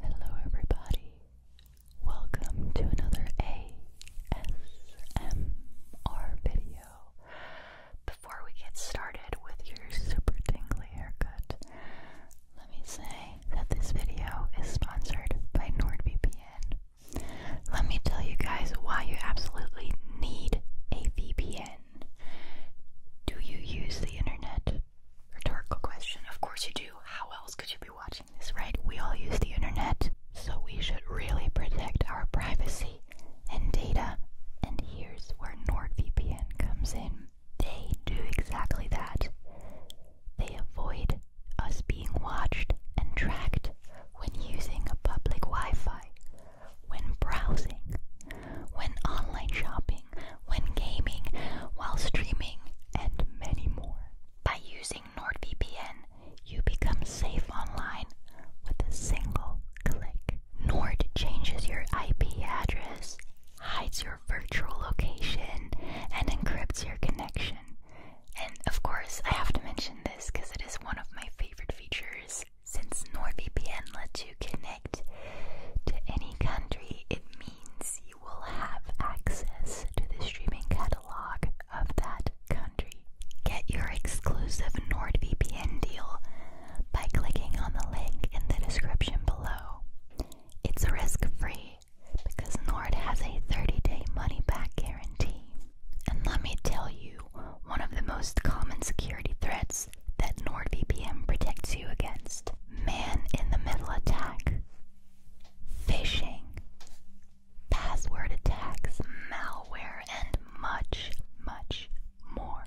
Hello, everybody. Welcome to another ASMR video. Before we get started with your super tingly haircut, let me say that this video is sponsored by NordVPN. Let me tell you guys why you absolutely need a VPN. Do you use the internet? Rhetorical question. Of course you do. How else could you be watching this, right? We all use the internet, so we should really protect our privacy and data. And here's where NordVPN comes in. They do exactly that. They avoid us being watched and tracked when using a public Wi Fi, when browsing, when online shopping, when gaming, while streaming, and many more. By using NordVPN, you become safe online with a single click. Nord changes your IP address, hides your virtual location, and encrypts your connection. And of course, I have to mention this because it is one of my favorite features. Since NordVPN lets you connect to any country, it means you will have access to the streaming catalog of that country. Get your exclusive NordVPN deal by clicking on the link in the description below. It's risk free because Nord has a 30 day money back guarantee. And let me tell you, one of the most common security threats that NordVPN protects you against man in the middle attack, phishing, password attacks, malware, and much, much more.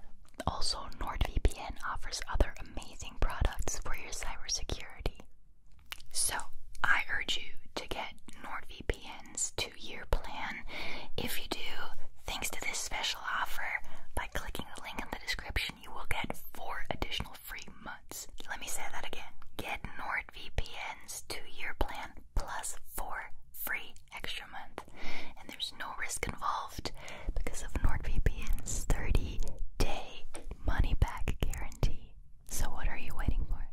Also, NordVPN offers other amazing products for your cybersecurity. So, I urge you to get NordVPN's two year plan. If you do, thanks to this special offer, by clicking the link in the description you will get four additional free months. Let me say that again. Get NordVPN's two-year plan plus four free extra month. And there's no risk involved because of NordVPN's 30-day money-back guarantee. So what are you waiting for?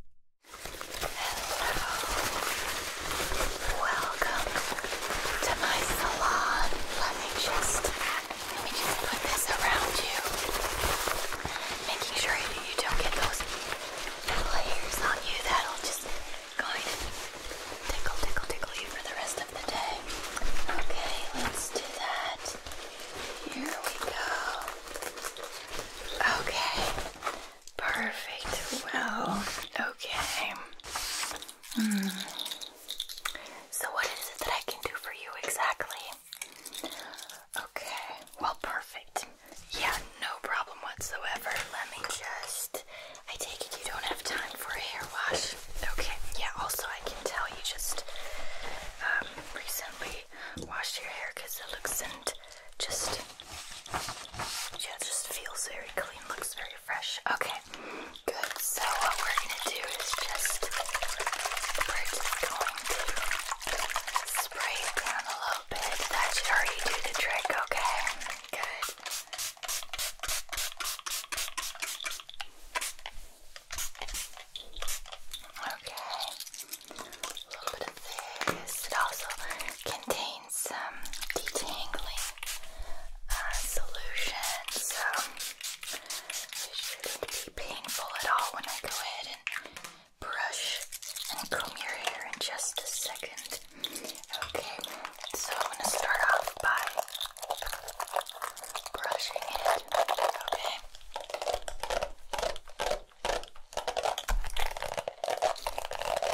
Hello. Welcome to my salon. Let me just let me just put this around you, making sure that you don't get those layers on you. That'll just go of tickle, tickle, tickle you for the rest of the day. Okay, let's do that. Here we go. Okay, perfect. Well, okay. Mm. So, what is it that I can do for you exactly? Okay, well, perfect. Yeah, no problem whatsoever. Let me just. I take it you don't have time for a hair wash. Okay, yeah, also, I can tell you just um, recently washed your hair because it looks and just. Yeah, just feels very clean, looks very fresh. Okay, Good, so what we're going to do is just, we're going to spray it down a little bit. That should already do the trick, okay? Good. Okay, a little bit of this. It also contains some detangling uh, solution, so it shouldn't be painful at all when I go ahead and brush and comb your hair in just a second. Okay, so I'm going to start off by brushing it, Okay,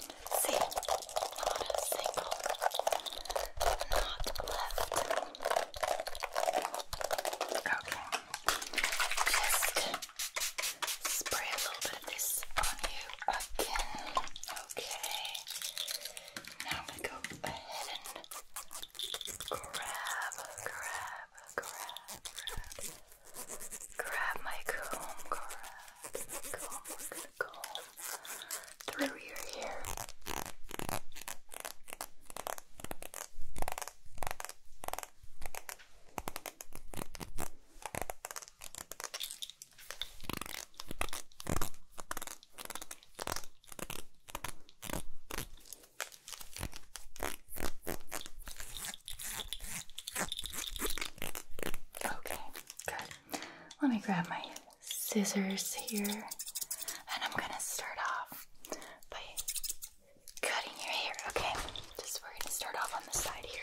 See, not a single knot left. Okay, just spray a little bit of this on you again. Okay, now I'm gonna go ahead and grab, grab, grab, grab. my comb, grab, through your hair. Okay, let me grab my scissors here, and I'm gonna start off by cutting your hair, okay? Just we're gonna start off on the side here.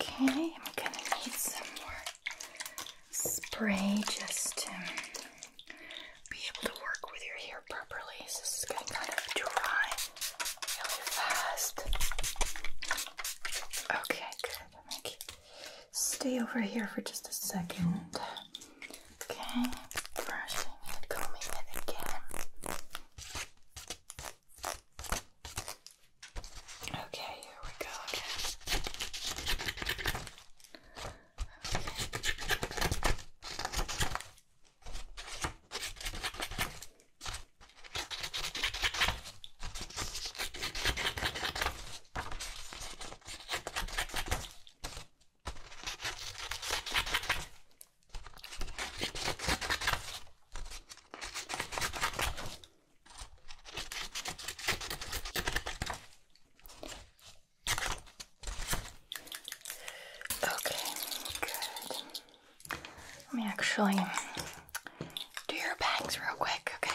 Okay, I'm gonna need some more spray just to be able to work with your hair properly. this is getting kind of dry really fast. Okay, good. stay over here for just a second. Okay, brushing it, combing it again. Okay, here we go Okay. Okay, good. Let me actually do your bangs real quick, okay?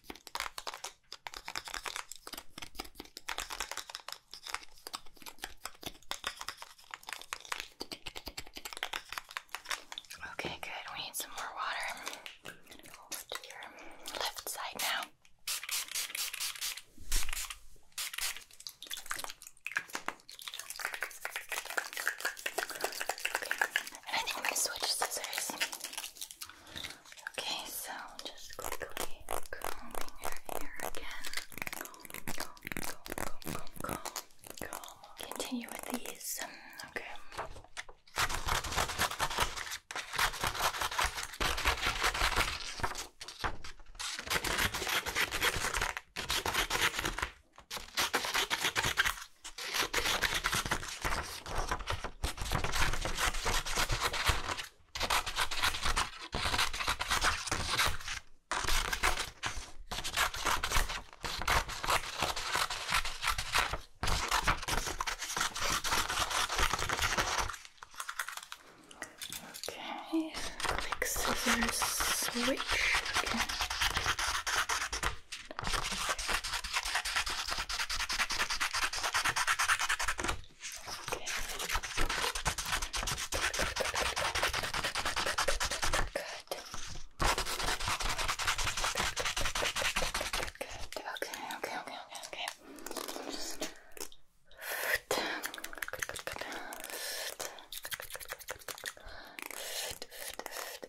Okay, good. We need some more water. I'm going to go over to your left side now. Okay. I think I'm going to switch scissors. Okay, so just quickly combing your hair again. Comb, comb, comb, comb, comb, comb. Continue with these. Okay, Okay, quick scissors switch. Okay. Okay. Good. Okay, okay, okay, okay, okay. Good, good, good, good. Good, good, good, good, good. Good, good, good, good.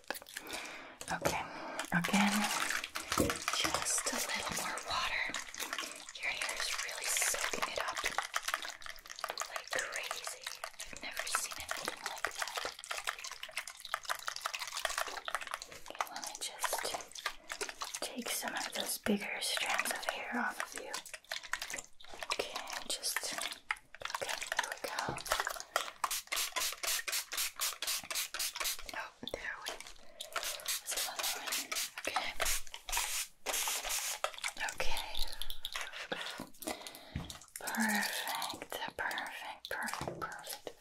Okay, again, just a little more water. Your hair is really soaking it up like crazy. I've never seen anything like that. Okay, let me just take some of those bigger strands of hair off of you. Okay, just. Okay, here we go. Oh, there we There's another one. Okay. Okay. Perfect. Perfect. Perfect. Perfect.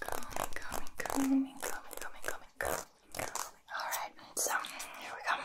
Coming, coming, coming, coming, coming, coming, coming. Alright, so here we go.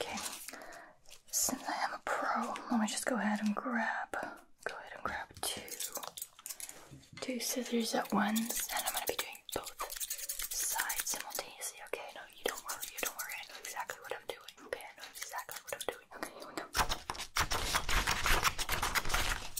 Okay, since I am a pro, let me just go ahead and grab, go ahead and grab two, two scissors at once, and I'm gonna be doing both sides simultaneously. Okay, no, you don't worry, you don't worry. I know exactly what I'm doing. Okay, I know exactly what I'm doing. Okay, here we go.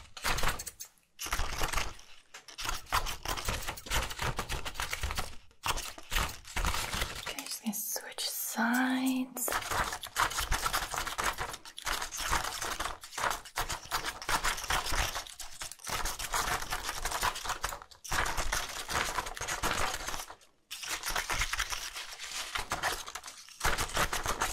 Okay, just gonna switch sides.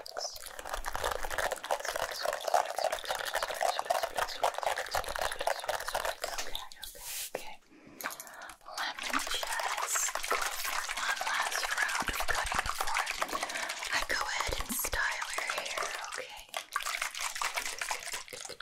okay. Let me just go for one last round of cutting before I go ahead and style your hair, okay? Okay,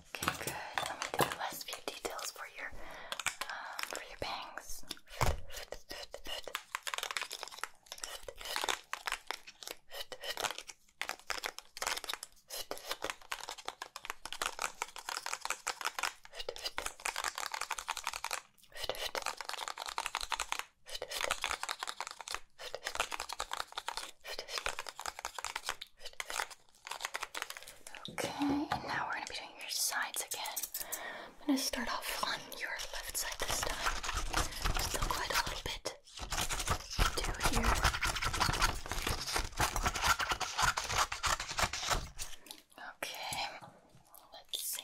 Okay, good. Let me do the last few details for your um, for your bangs. Okay, and now we're going to be doing your sides again. I'm going to start off on your left side this time. Still quite a little bit to here. Okay, let's see.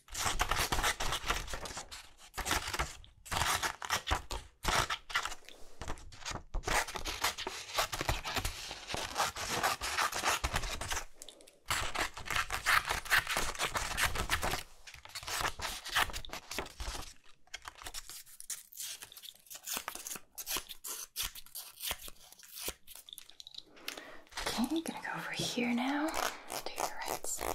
Okay, I'm gonna go over here now to your right side.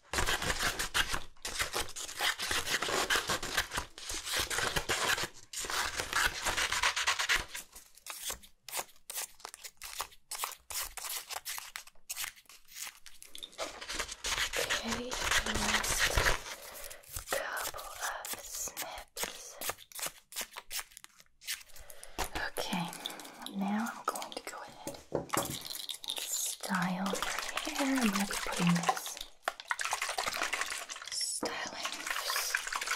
Okay, last couple of snips. Okay, now I'm going to go ahead style your hair. I'm going to be putting this styling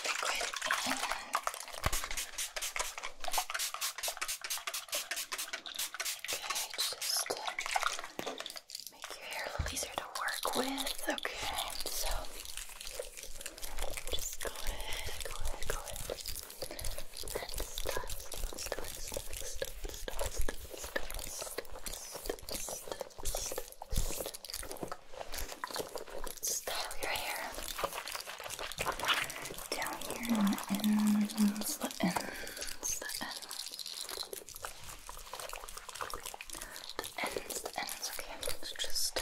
liquid in. Okay, just make your hair a little easier to work with. Okay, so just go ahead, go ahead, go ahead. Style your hair down here on the ends, the ends, the ends, the ends, the ends. Okay, let's just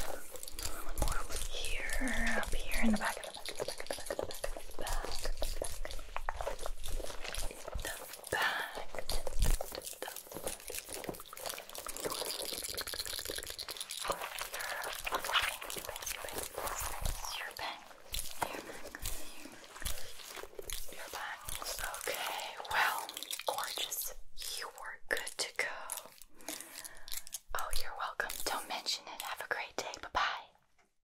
more over here, up here in the back of the back, of the back, of the back, of the back, of the back, of the back your bangs. Okay, well, gorgeous. You were good to go. Oh, you're welcome. Don't mention it. Have a great day. Bye bye.